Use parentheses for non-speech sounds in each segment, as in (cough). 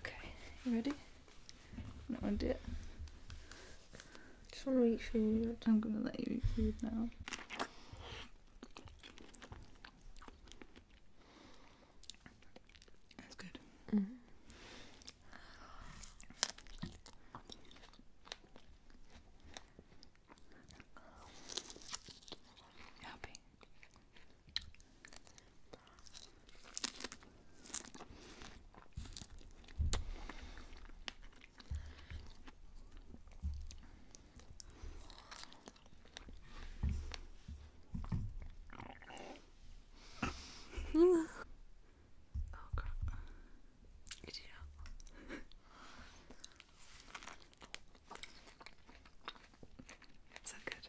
Okay, you ready? I'm not gonna do it. just wanna eat food. I'm gonna let you eat food now. That's good. -hmm. Happy oh crap. Did you know? good?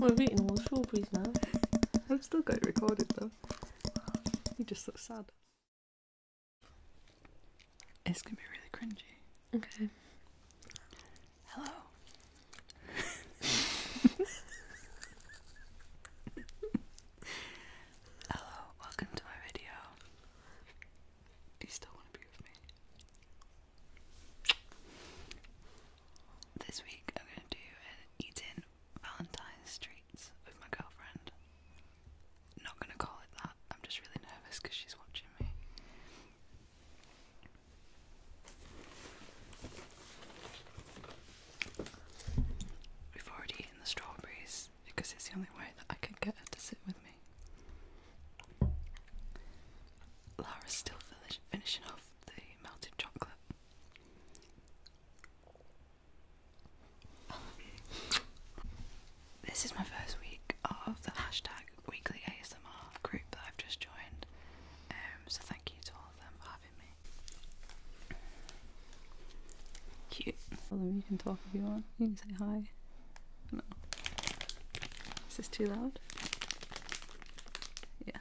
we I've eaten all the strawberries now. (laughs) I've still got it recorded though. You just look sad. It's gonna be really cringy. Okay. Hello. Hello, welcome to my video. Do you still want to be with me? This week I'm gonna do an eat Valentine's treats with my girlfriend not gonna call it that. I'm just really nervous because she's watching me. We've already eaten the strawberries because it's the only way that I can get her to sit with me. Lara's still finishing off the melted chocolate. This is my first week of the hashtag weekly ASMR group that I've just joined, um, so thank you to all of them for having me. Cute. Well, you can talk if you want. You can say hi. No. Is this too loud? Yeah.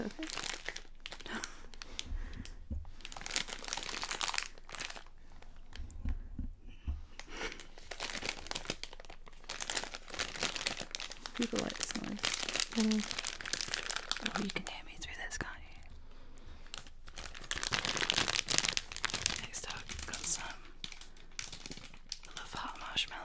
okay. People like this noise. Oh, you can hear me through this, can't you? Next up, got some Love Heart marshmallows.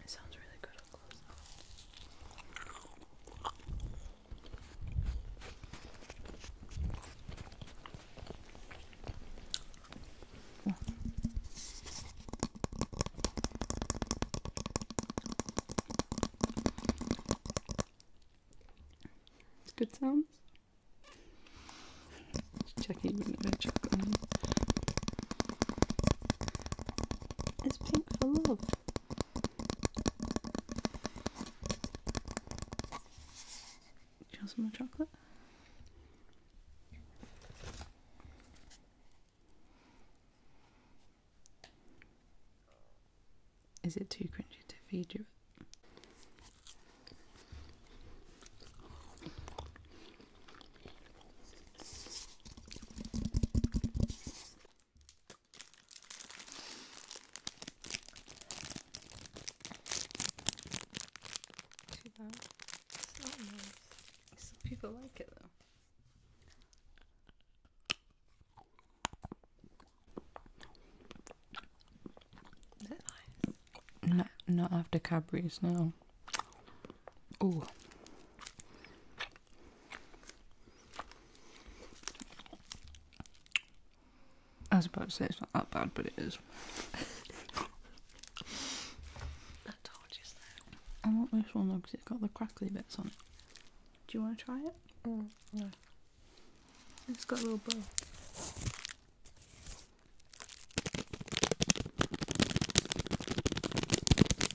It sounds really good up close though. Yeah. Good sounds. Just checking if I check on. It's pink for love. Do you chocolate? Is it too cringy to feed you? Some people like it though. Not, not after Cadbury's, now. Oh, I was about to say it's not that bad, but it is. I want this one because it's got the crackly bits on it. Do you want to try it? Mm, no. It's got a little bow.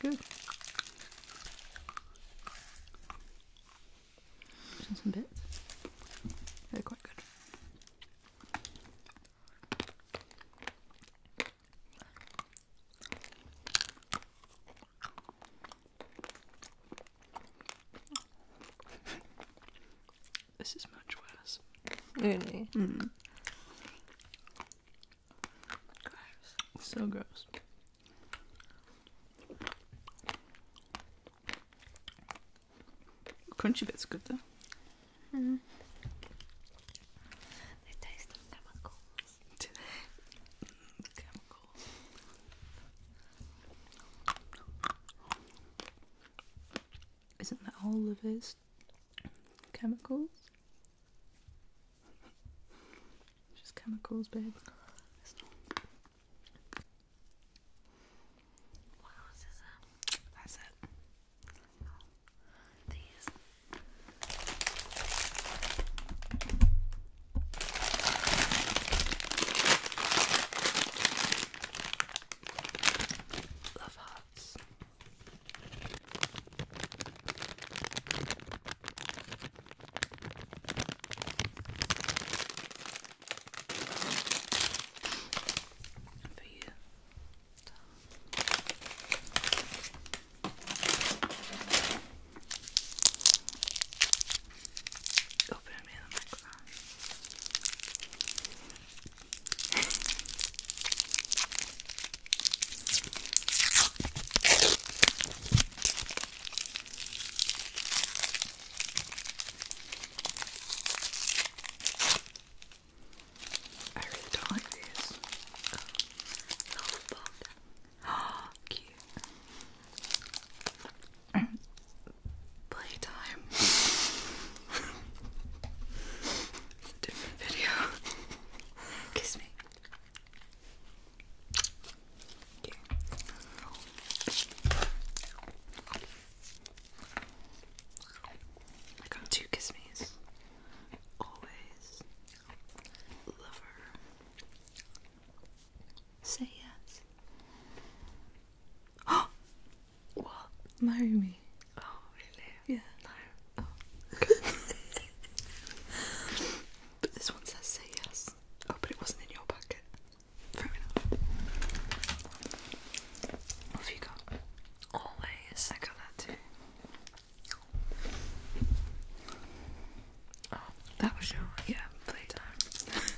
Good. some bits. They're quite good. This is much worse. Really? Mm. So gross. Crunchy bit's good though. -hmm. They taste chemicals. chemicals. Isn't that all of his chemicals? Just chemicals, babe. It's not. What That's it. Love hearts. And for you. Open me the microphone. I really don't like these. Oh, no, oh cute. (gasps) Playtime. (laughs) different video. (laughs) Kiss me. I got two kiss me's. Always love Say yes. Oh, (gasps) what? Marry me. Oh, really? Yeah. No. Oh. (laughs) but this one says say yes. Oh, but it wasn't in your packet. What have you got? Always. I got that too. Oh, that was your yeah, playtime. (laughs)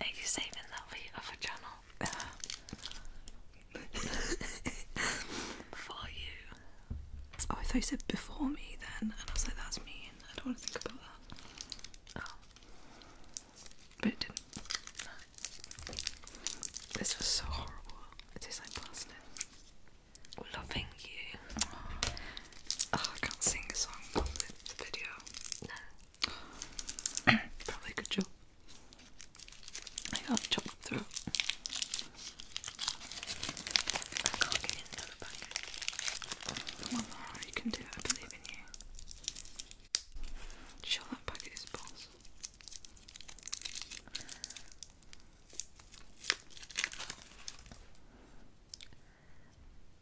Are you saving that for your channel? For you. Oh, I thought you said before me then, and I was like, that's mean. I don't want to think about that. Oh. But it didn't. This was so horrible. It is like blasting. Loving you. Oh. I can't sing a song on video. No. (clears throat) Probably a good joke. I can't chop through. I can't get in the other Come on, you can do it. I believe in you. Sure, that packet is balls.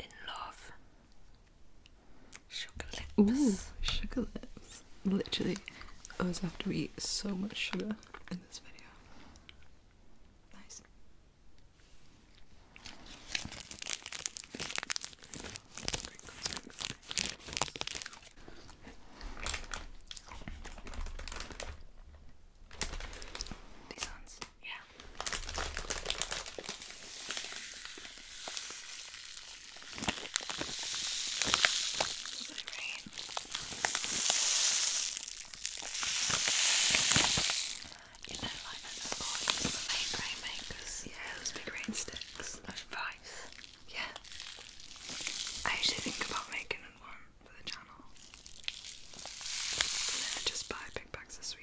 In love, Sugar lips. Ooh, sugar lips. Literally, us have to eat so much sugar in this video. Nice. These ones, yeah. You know, like I know all the main rain makers. Yeah, those big rain sticks. Those vibes. Yeah. I actually think about making one for the channel. And then I just buy big bags of sweet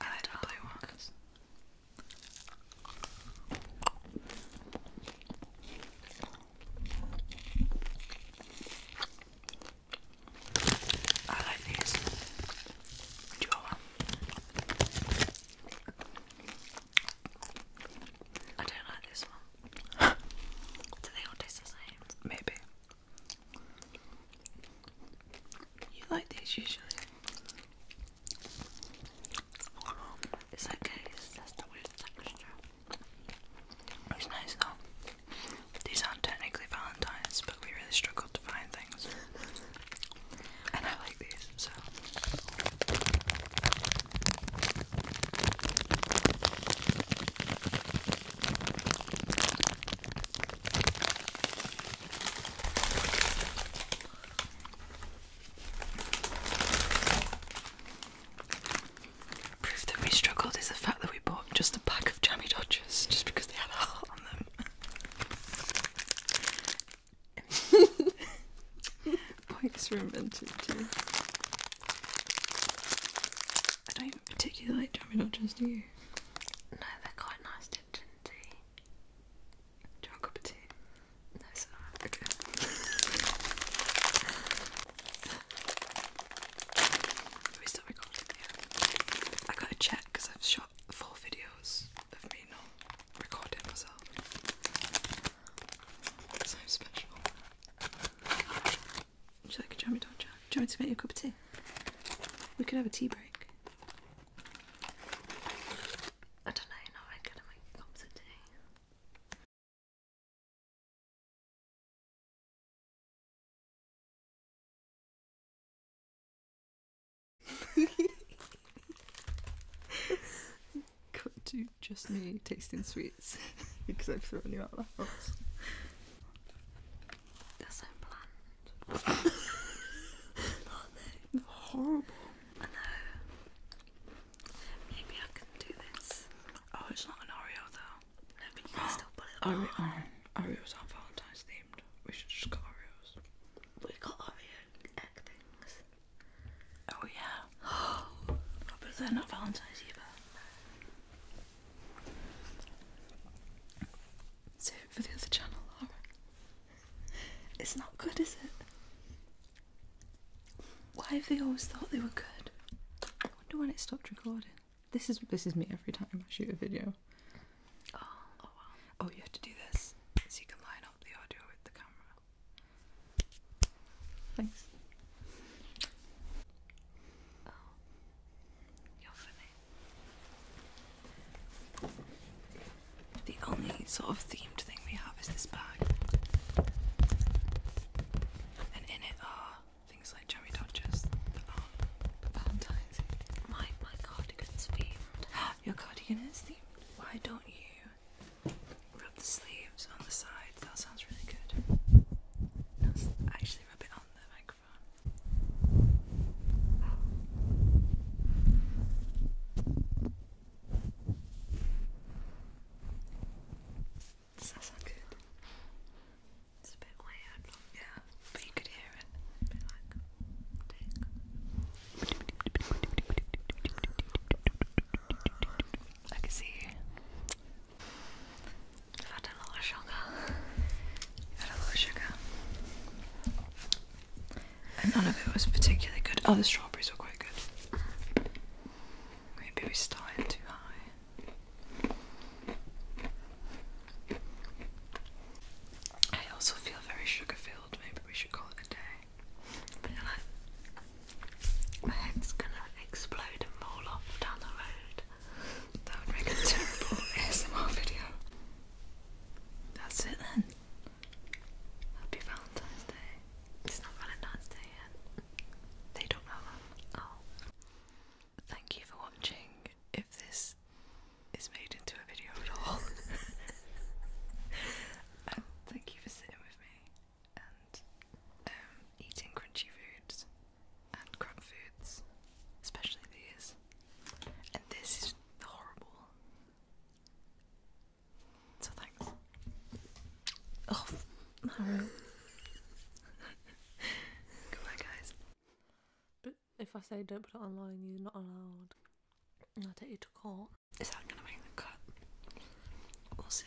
I like the blue ones. I like these. Do you want one? I don't like this one. (laughs) Do they all taste the same? Maybe. You like these usually? It's okay, it's It's nice though. These aren't technically Valentine's, but we really struggled to find things. And I like these, so. Proof that we struggled is the fact that we bought just a pack of jammy dodgers just because they had a heart on them. Points were invented too. I don't even particularly like jammy dodgers, do you? No, they're quite nice, they're ginty. a tea? No, sir. Okay. Are we still I gotta check because I've shot four videos of me not recording myself. So special. Would you like a jummy Do you want me to make you a cup of tea? We could have a tea break. I don't know, you know I'm gonna make cups of tea. (laughs) Cut to just me tasting sweets (laughs) because I've thrown you out of the house. That's are so bland. Horrible. I know. Maybe I can do this. Oh, it's not an Oreo though. No, but still put it on. Oh, um, Oreos aren't Valentine's themed. We should just get Oreos. We got Oreo egg things. Oh yeah. (gasps) but they're not Valentine's either. So for the other channel, It's not good, is it? Why have they always thought they were good? I wonder when it stopped recording. This is this is me every time I shoot a video. Oh, oh wow. Oh, you have to do this so you can line up the audio with the camera. Thanks. Oh. The only sort of themed thing we have is this bag. And in it are things like cherry dodgers My, my cardigan's themed. (gasps) Your cardigan is themed? Why don't you rub the sleeves on the sides? That sounds really good. actually rub it on the microphone. good? It's a bit weird, yeah, but you could hear it. I can see you. I've had a lot of sugar. I've had a lot of sugar. And none of it was particularly good. Oh, the strawberries were quite good. Maybe we started too high. I also feel very sugar filled. Maybe we should call it a day. my head's gonna explode and roll off down the road. That would make a terrible ASMR (laughs) video. That's it then. Happy Valentine's Day. It's not Valentine's Day yet. They don't know Oh. Thank you for watching. If this is made into a video at all. um, (laughs) thank you for sitting with me and um, eating crunchy foods and crap foods, especially these. And this is horrible. So thanks. Oh, (laughs) Mara. Goodbye, guys. But if I say don't put it online, you're not allowed. I'll take you to court. Is that gonna make the cut? We'll see.